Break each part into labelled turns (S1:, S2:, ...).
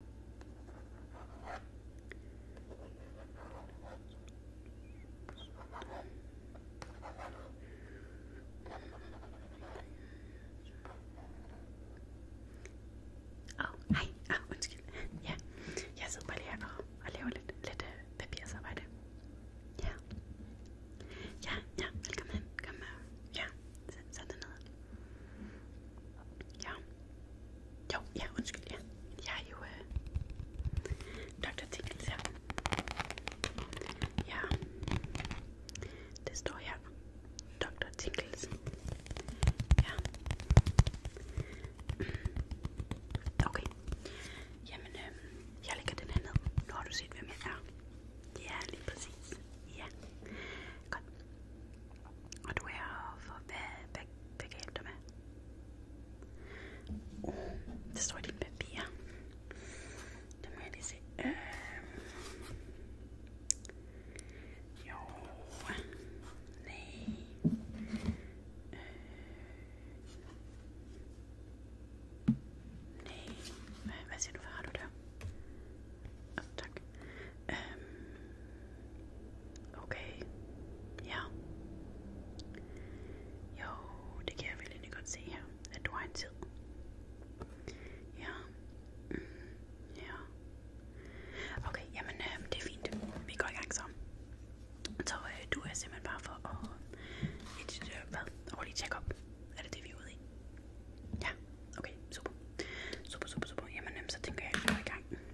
S1: Åh, oh, hej. Ah, undskyld. Ja, jeg sidder bare lige og, og laver lidt, lidt uh, papirsarbejde. Ja. Ja, ja, velkommen hen. Kom med. Øh. Ja, sæt dig ned. Ja. Jo, ja, undskyld, ja. Jeg er jo øh, Dr. Tinkels her. Ja, det står her. Dr. Tinkels. Ja. Okay. Jamen, øh, jeg lægger den her ned. Nu har du set, hvem jeg er. Ja, lige præcis. Ja. Godt. Och då är jag för begrepp med. Oh, mm, det står i dine papirer. Det må jeg lige se. Øh. Jo. Nej. Øh. Nej. Hvad, hvad siger du? Hvad har du der? Oh, tak. okay. Ja. Jo, det kan jeg vel egentlig godt se her, at du har en tid. Ja. Mm, ja. Okay, jamen øh, det er fint. Vi går i gang så. Øh, du er simpelthen bare for at... Øh, hvad? Årlig check-up. Er det det, vi er i? Ja, okay, super. Super, super, super. Jamen, øh, så tænker jeg, at vi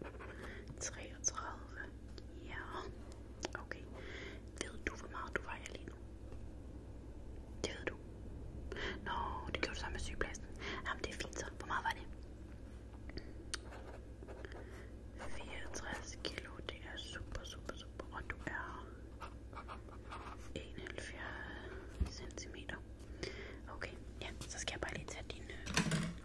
S1: 33. Ja. Okay. Ved du, hvor meget du vejer lige nu? Det ved du. Nå, det gjorde du sammen med sygepladsen. Jamen, det er fint så. Hvor meget var det? 64 kilo. Det er super, super, super. Og du er 71 centimeter. Okay, ja, så skal jeg bare lige tage din... Øh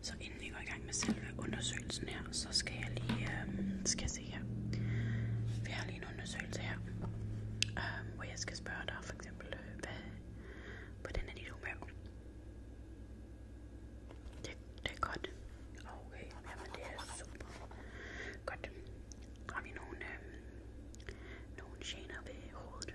S1: Så inden vi går i gang med selve undersøgelsen her, så skal jeg lige, øhm, skal se her. Vi har lige en undersøgelse her, øhm, hvor jeg skal spørge dig for eksempel, øh, hvad, hvordan er dit humør? Det, det er godt. Okay, jamen det er super. Godt. Har vi nogle, øhm, nogle gener ved hovedet?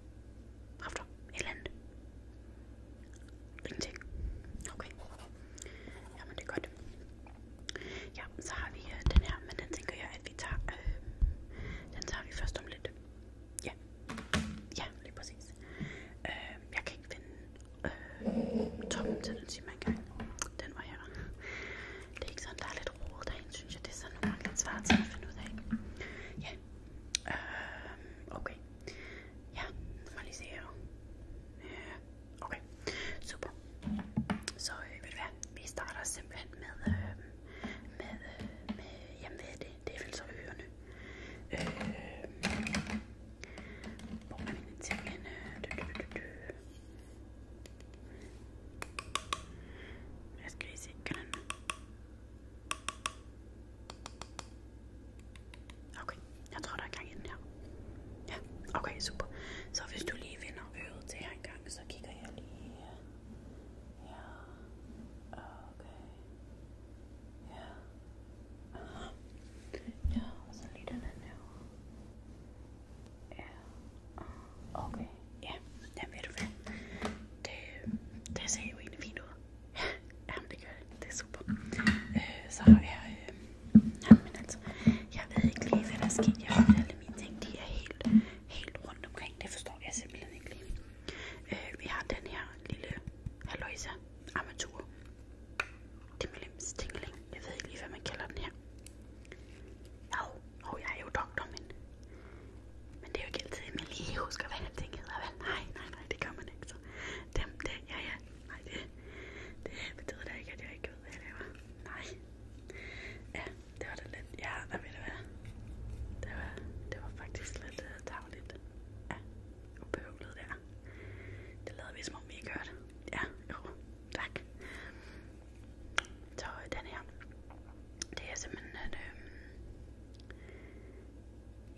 S1: dag aften, et eller andet ingenting okay jamen det er godt ja, så har vi øh, den her, men den tænker jeg at vi tager øh, den tager vi først om lidt ja, ja lige præcis øh, jeg kan ikke finde øh, toppen til den siger man engang den var her det er ikke sådan, der er lidt rodet derinde, synes jeg. Det er sådan nogle gange lidt svært til at finde ud af. Ja. Øh, okay. Ja, nu må jeg lige se her. Øh, okay. Super. Så øh, ved du hvad? Vi starter simpelthen med, øh, med, øh, med jamen hvad er det? Det er vel så ørerne. Øh, hvor er mine ting henne? Jeg skal lige se, kan den... Okay, jeg tror der er gang i den her. Ja, okay, super. Så hvis du lige vender øret til her en gang, så kigger jeg lige her. Ja, okay. Ja. Aha. Ja, og så lige den anden her. Ja. Okay, ja. Jamen ved du hvad? Det, det ser jo egentlig fint ud. Ja, jamen det gør det. Det er super. Øh, så har jeg... Øh, jamen altså, jeg ved ikke lige, hvad der er sket. Jeg har alle mine ting, de er helt, helt rundt omkring. Det forstår jeg simpelthen ikke lige. Øh, vi har den her lille haløjsa armatur. Dimlims tingling. Jeg ved ikke lige, hvad man kalder den her. Au, og jeg er jo doktor, men, men det er jo ikke altid, at man lige husker, hvad han ting hedder. Vel? Nej, nej, nej, det gør man ikke. Så dem, det, ja, ja, nej, det, det betyder da ikke, at jeg ikke ved, hvad jeg laver. Nej. Ja, det var da lidt, ja, hvad ved du hvad? Det var, det var faktisk lidt uh, øh, dagligt. Ja, ubehøvlet der. Det lavede vi, som om vi ikke hørte. Ja, jo, tak. Så øh, den her det er simpelthen, at øh,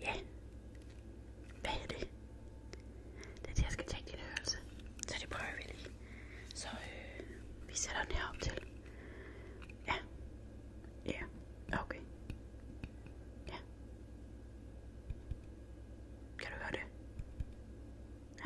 S1: ja, hvad er det? Det er det, jeg skal tage din hørelse, så det prøver vi lige. Så øh, vi sætter den her op til. Ja, ja, okay. Ja. Kan du høre det? Ja.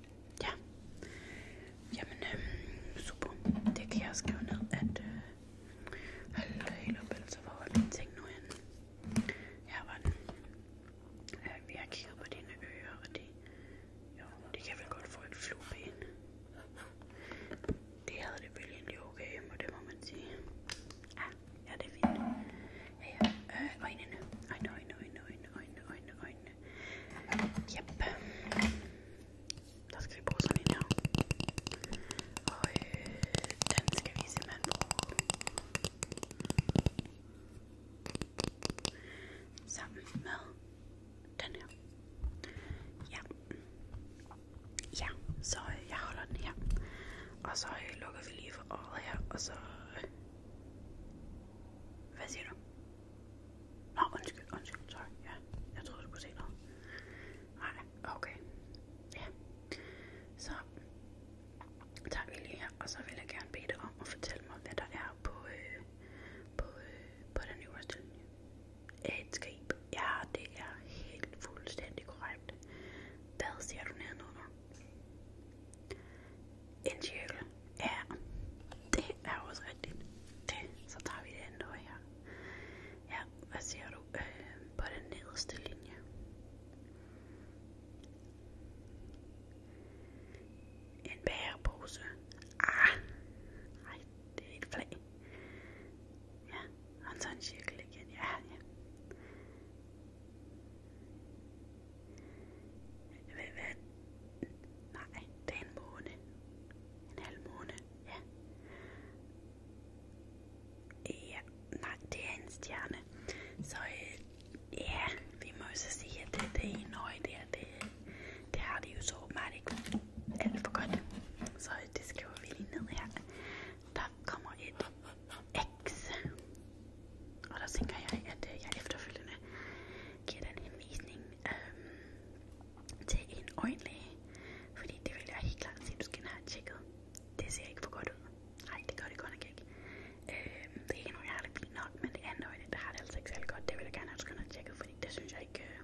S1: Ja. Jamen, øhm, super. Det kan jeg også skrive ned, at øh, hold helt op, altså hvor var mine ting nu henne? Her var den. Øh, vi har kigget på dine ører, og det, jo, det kan vel godt få et flueben. Det havde det vel egentlig okay, og det må man sige. Ja, ah, ja det er fint. Ja, ja. Øh, øjnene. Øjne, øjne, øjne, øjne, øjne, øjne, øjne. Jep. Der skal vi bruge sådan en her. Og øh, den skal vi simpelthen bruge sammen med den her. Ja. Ja, så øh, jeg holder den her. Og så øh, lukker vi lige for øjet her, og så... Øh, hvad siger du? Nå, undskyld, undskyld, sorry. Ja, jeg troede, du kunne se noget. Nej, okay. Ja. Så tager vi lige her, og så vil jeg gerne bede dig om at fortælle mig, hvad der er på, øh, på, øh, på den øverste linje. Et skrib. Ja, det er helt fuldstændig korrekt. Hvad siger du nedenunder? En cirkel. Ja, det er også rigtigt. Det. Så tager vi det andet over her. Ja, hvad siger du? Øh, på den nederste linje. En bærepose. Ah! Nej, det er et flag. Ja, og så en cirkel igen. Ja, ja. Hvad, hvad? Nej, det er en måne. En halv måne, ja. Ja, nej, det er en stjerne. Så øh, ja, vi må jo så sige, at det, det ene øje der, det, det har det jo så åbenbart ikke alt for godt. Så øh, det skriver vi lige ned her. Der kommer et X. Og der tænker jeg, at øh, jeg efterfølgende giver den henvisning. Øh, til en øjenlæge, fordi det vil jeg helt klart sige, du skal have tjekket. Det ser ikke for godt ud. Nej, det gør det godt nok ikke. Øh, det er ikke noget, jeg har det fint nok, men det andet øje, det har det altså ikke særlig godt. Det vil jeg gerne have, du skal have tjekket, fordi det synes jeg ikke... Øh,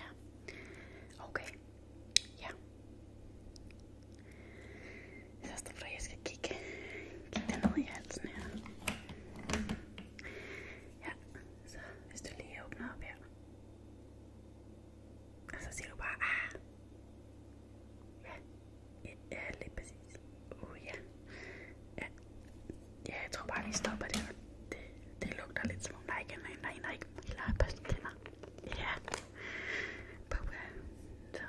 S1: ja. Okay. Ja. Så står der, at jeg skal kigge, kigge dernede i halsen her. Ja, så hvis du lige åbner op her. så siger du bare, ah. Ja, ja lidt præcis. Uh, ja. ja. tror bare, vi stopper det. Det, det lugter lidt som om, der ikke er en, der Ja. Puh, så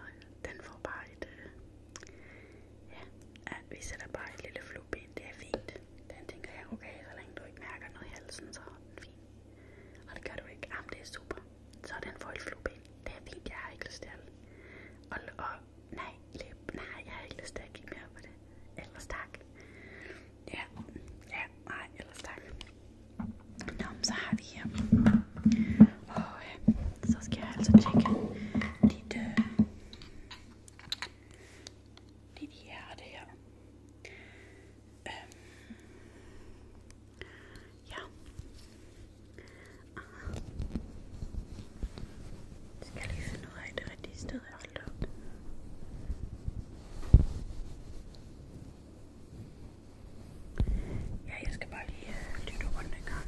S1: den får bare et... Øh, ja. ja, vi sætter bare et lille flueben. Det er fint. Den tænker jeg, okay, så længe du ikke mærker noget i halsen, så er den fin. Og det gør du ikke. Jamen, det er super. Så er den for et flueben. Det er fint, jeg har ikke lyst til alt. Og, og nej, læb, nej, jeg har ikke lyst til at kigge mere på det. Ellers tak. Ja, ja, nej, ellers tak. Nå, så har vi her. Og øh, så skal jeg altså tjekke dit, øh, det er et hjerte her. Øhm. Ja. Ah. Jeg skal lige finde ud af det rigtige sted, jeg holdt op. Ja, jeg skal bare lige øh, lytte rundt en gang.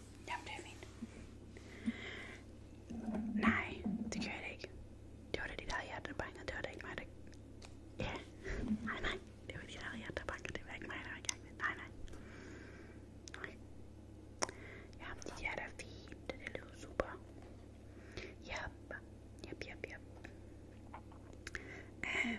S1: Jamen, det er fint. Nej, det gør jeg da ikke. Det var da dit eget hjerte, der bankede. Det var da ikke mig, der... Ja. Nej, nej. Det var dit eget hjerte, der bankede. Det var ikke mig, der var i gang med. Nej, nej. Nej. Ja, dit hjerte er fint. Det lyder super. Jep. Jep, jep, jep. Øhm.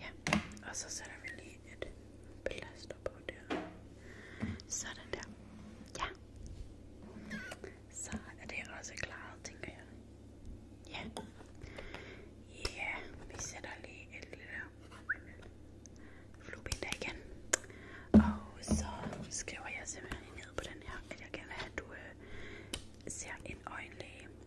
S1: Ja, og så sætter vi lige et plaster på der. Sådan der. Ja. Så er det også klaret, tænker jeg. Ja. Ja, vi sætter lige et lille flueben der igen. Og så skriver jeg simpelthen ned på den her, at jeg gerne vil have, at du øh, ser en øjenlæge.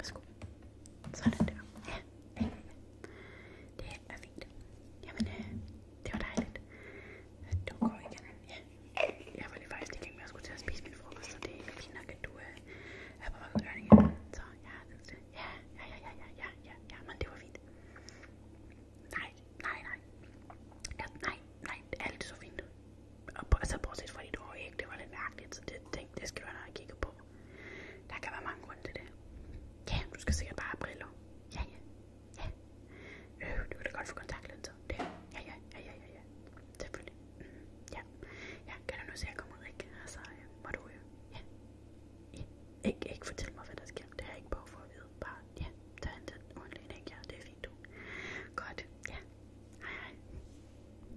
S1: Værsgo. Sådan der. Ja, det er fint. Jamen, øh, det var dejligt. Du går igen. Ja. Jeg var lige faktisk i gang med at skulle til at spise min frokost, så det er fint nok, at øh, Ja, ja, ja, ja, ja, ja, ja, ja, men det var fint. Nej, nej, nej. Ja, nej, nej, fint. Og altså, bortset fra dit øje, det var lidt mærkeligt, så det, det, det skal du have kigget på på. Der kan være mange grunde til det. Ja, du skal sikkert bare have briller. Ja, ja, ja. Øh, du kan da godt få kontaktlinser. Det. Ja, ja, ja, ja, ja, ja. Selvfølgelig. Mm, ja. ja, kan du nu se, at jeg kommer ud, ikke? Altså, øh, må du jo. Øh, ja. ja. Ikke, ikke fortæl mig, hvad der sker. Det har jeg ikke behov for at vide. Bare, ja, tag en tid ordentligt, ikke? Ja, det er fint, du. Godt, ja. Hej, hej.